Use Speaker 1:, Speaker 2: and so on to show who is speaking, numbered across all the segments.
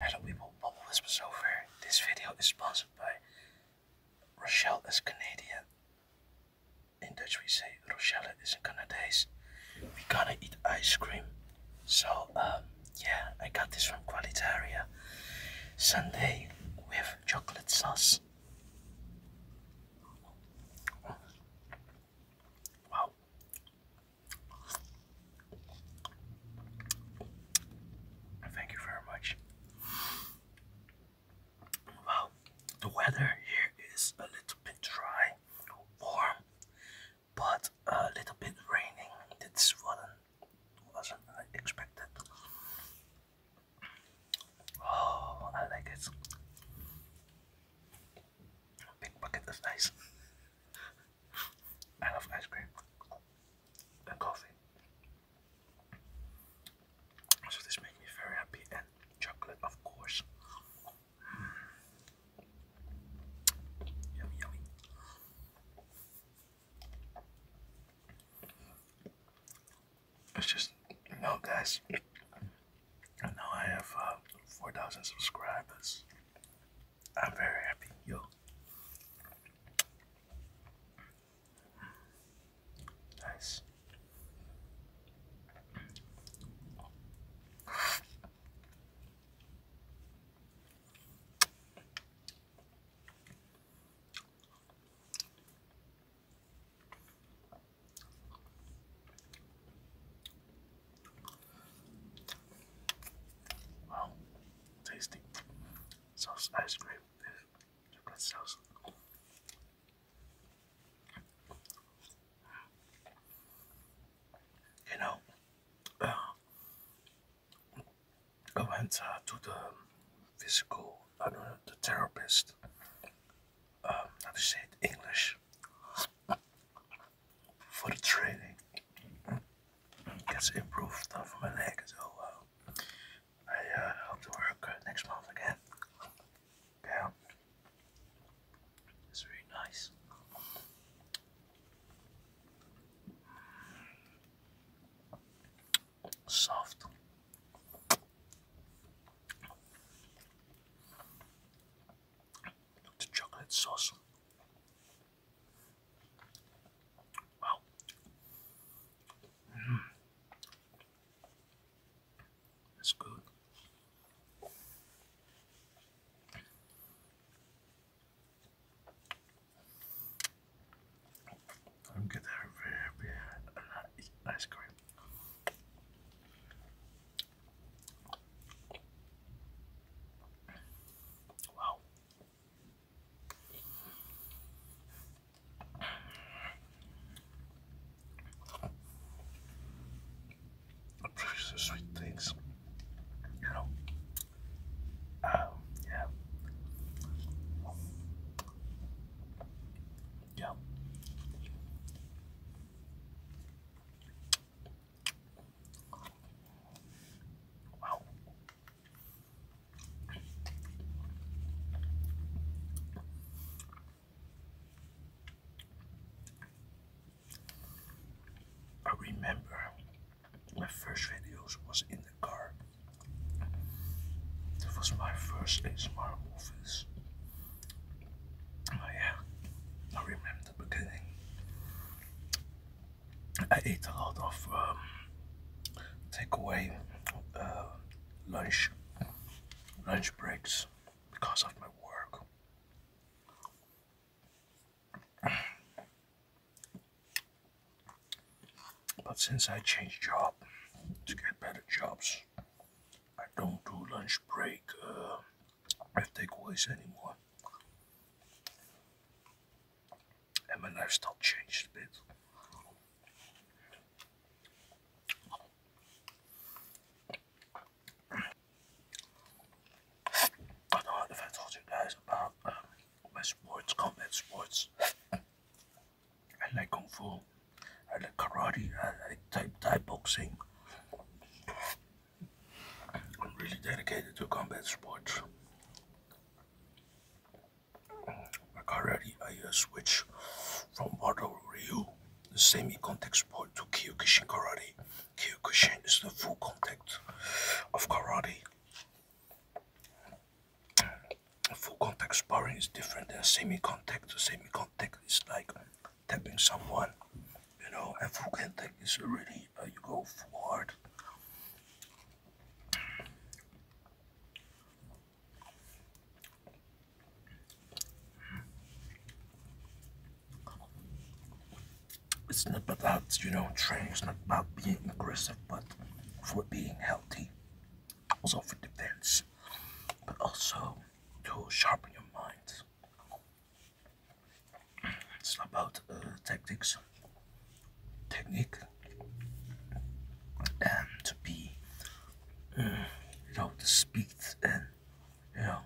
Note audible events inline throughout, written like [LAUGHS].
Speaker 1: Hello people, Bubble Whispers over. This video is sponsored by Rochelle is Canadian. In Dutch we say Rochelle is in Canadese. We gonna eat ice cream. So um, yeah, I got this from Qualitaria. Sunday with chocolate sauce. Wow, Thank you very much. Well, the weather here is a little bit dry, warm, but a little bit raining. This wasn't wasn't expected. Oh, I like it. big bucket is nice. I love ice cream and coffee. So this makes me very happy and chocolate of course. Yummy yummy. It's just no, guys. And now I have uh, 4,000 subscribers. I'm very happy, yo. Nice. Wow tasty sauce ice cream chocolate sauce. You know, uh, I went uh, to the physical, the therapist. Um, how say English for the training gets improved for my leg, so uh, I hope to work uh, next month again. Yeah, it's really nice. Soft. The chocolate sauce Wow. Mm. That's good. I'm good there very happy ice cream. Wow. These are sweet things, you know. Um, yeah. Yeah. I remember my first videos was in the car. It was my first ASMR movies. Oh, yeah, I remember the beginning. I ate a lot of um, takeaway uh, lunch lunch breaks because of my work. But since I changed job to get better jobs, I don't do lunch break uh, takeaways anymore and my lifestyle changed a bit. I know if I told you guys about um, my sports, combat sports. I like kung fu, I like karate, I like type Thai boxing. I'm really dedicated to combat sports. Already I uh, switched from Wado Ryu, the semi-contact sport, to Kyokushin Karate. Kyokushin is the full contact of Karate. Full contact sparring is different than semi-contact. Semi-contact is like tapping someone, you know, and full contact is really uh, you go forward. It's not about, you know, training, it's not about being aggressive, but for being healthy, also for defense, but also to sharpen your mind. It's about uh, tactics, technique, and to be, uh, you know, the speed and, you know,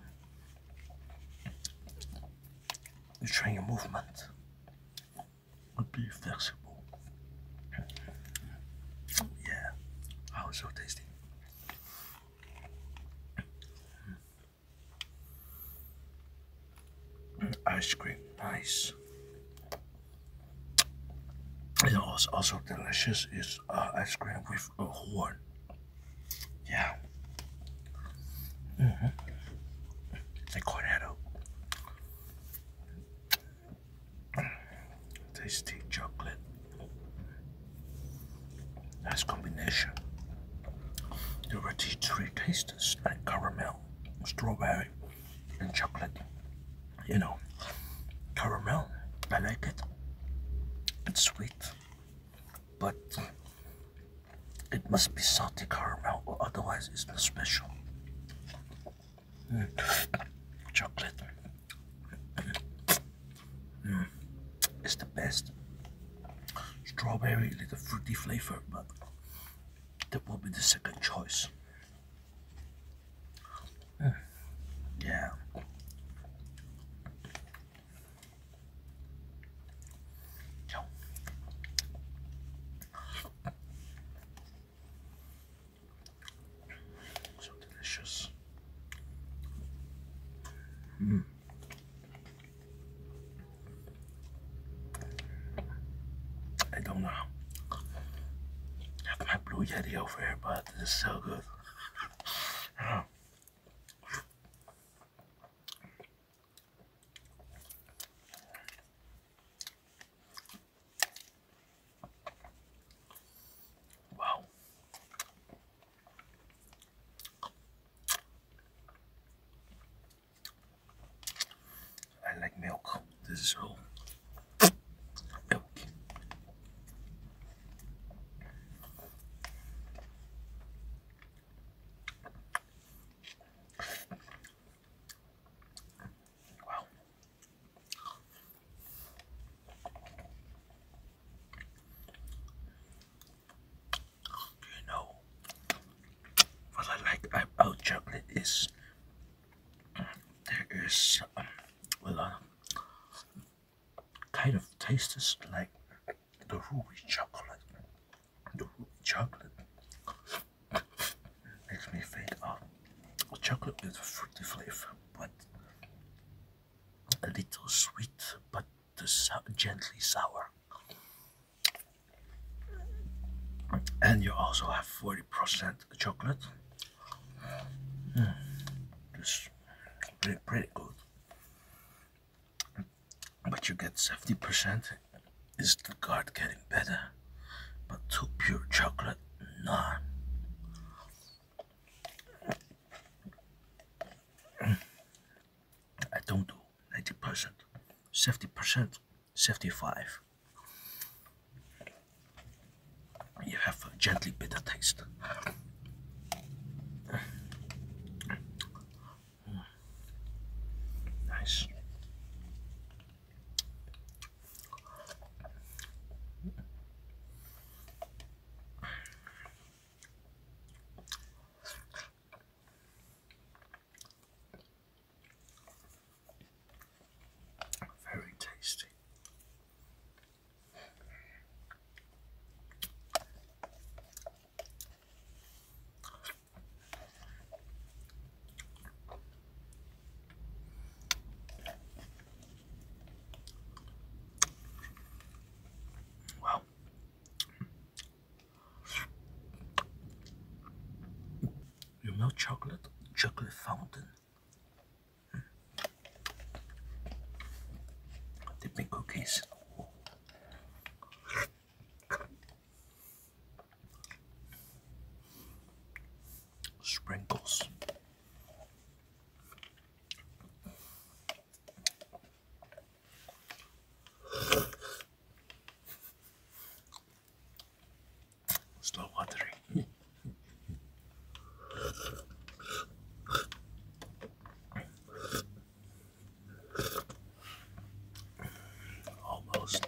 Speaker 1: you train your movement, but be flexible. Yeah, oh, so tasty. Ice cream, nice. You know also delicious is uh, ice cream with a uh, horn. Yeah. Mm -hmm. They call Tasty chocolate. Nice combination. The rotisserie tastes like caramel strawberry and chocolate, you know, caramel. I like it. It's sweet, but it must be salty caramel, or otherwise it's not special. Mm. Chocolate mm. it's the best. Strawberry, little fruity flavor, but that will be the second choice. Yeah. So delicious. Mm. I don't know. After my blue yeti over here, but this so good. Wow. I like milk. This is whole milk. Wow you know what I like about chocolate is there is a lot of kind of tastes like the ruby chocolate. The ruby chocolate [LAUGHS] makes me think uh, of chocolate with fruity flavor, but a little sweet, but gently sour and you also have 40% chocolate. Just hmm, pretty, good. But you get 70% is the guard getting better. But too pure chocolate, nah. I don't do 90%, 70%. 75 you have a gently bitter taste nice very tasty. Well, you know chocolate? Chocolate fountain. Hmm. The big cookies. Sprinkles. Slow watering. Almost.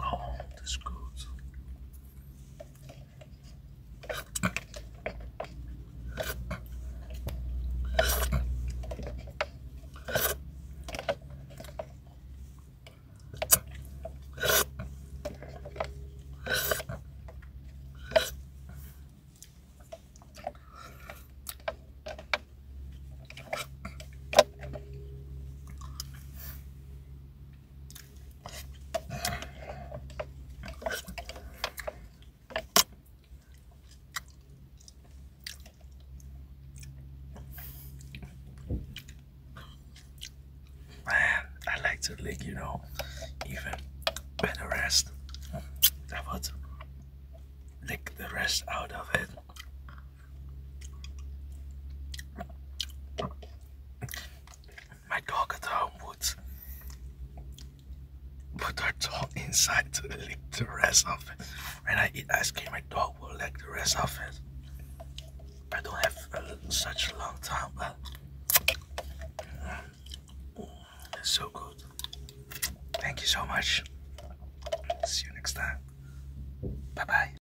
Speaker 1: Oh, this goes. Man, I like to lick, you know, even with the rest. I would lick the rest out of it. My dog at home would put her tongue inside to lick the rest of it. and I eat ice cream, my dog will lick the rest of it. I don't have uh, such a long time, but mm, so good. Thank you so much. See you next time. Bye bye.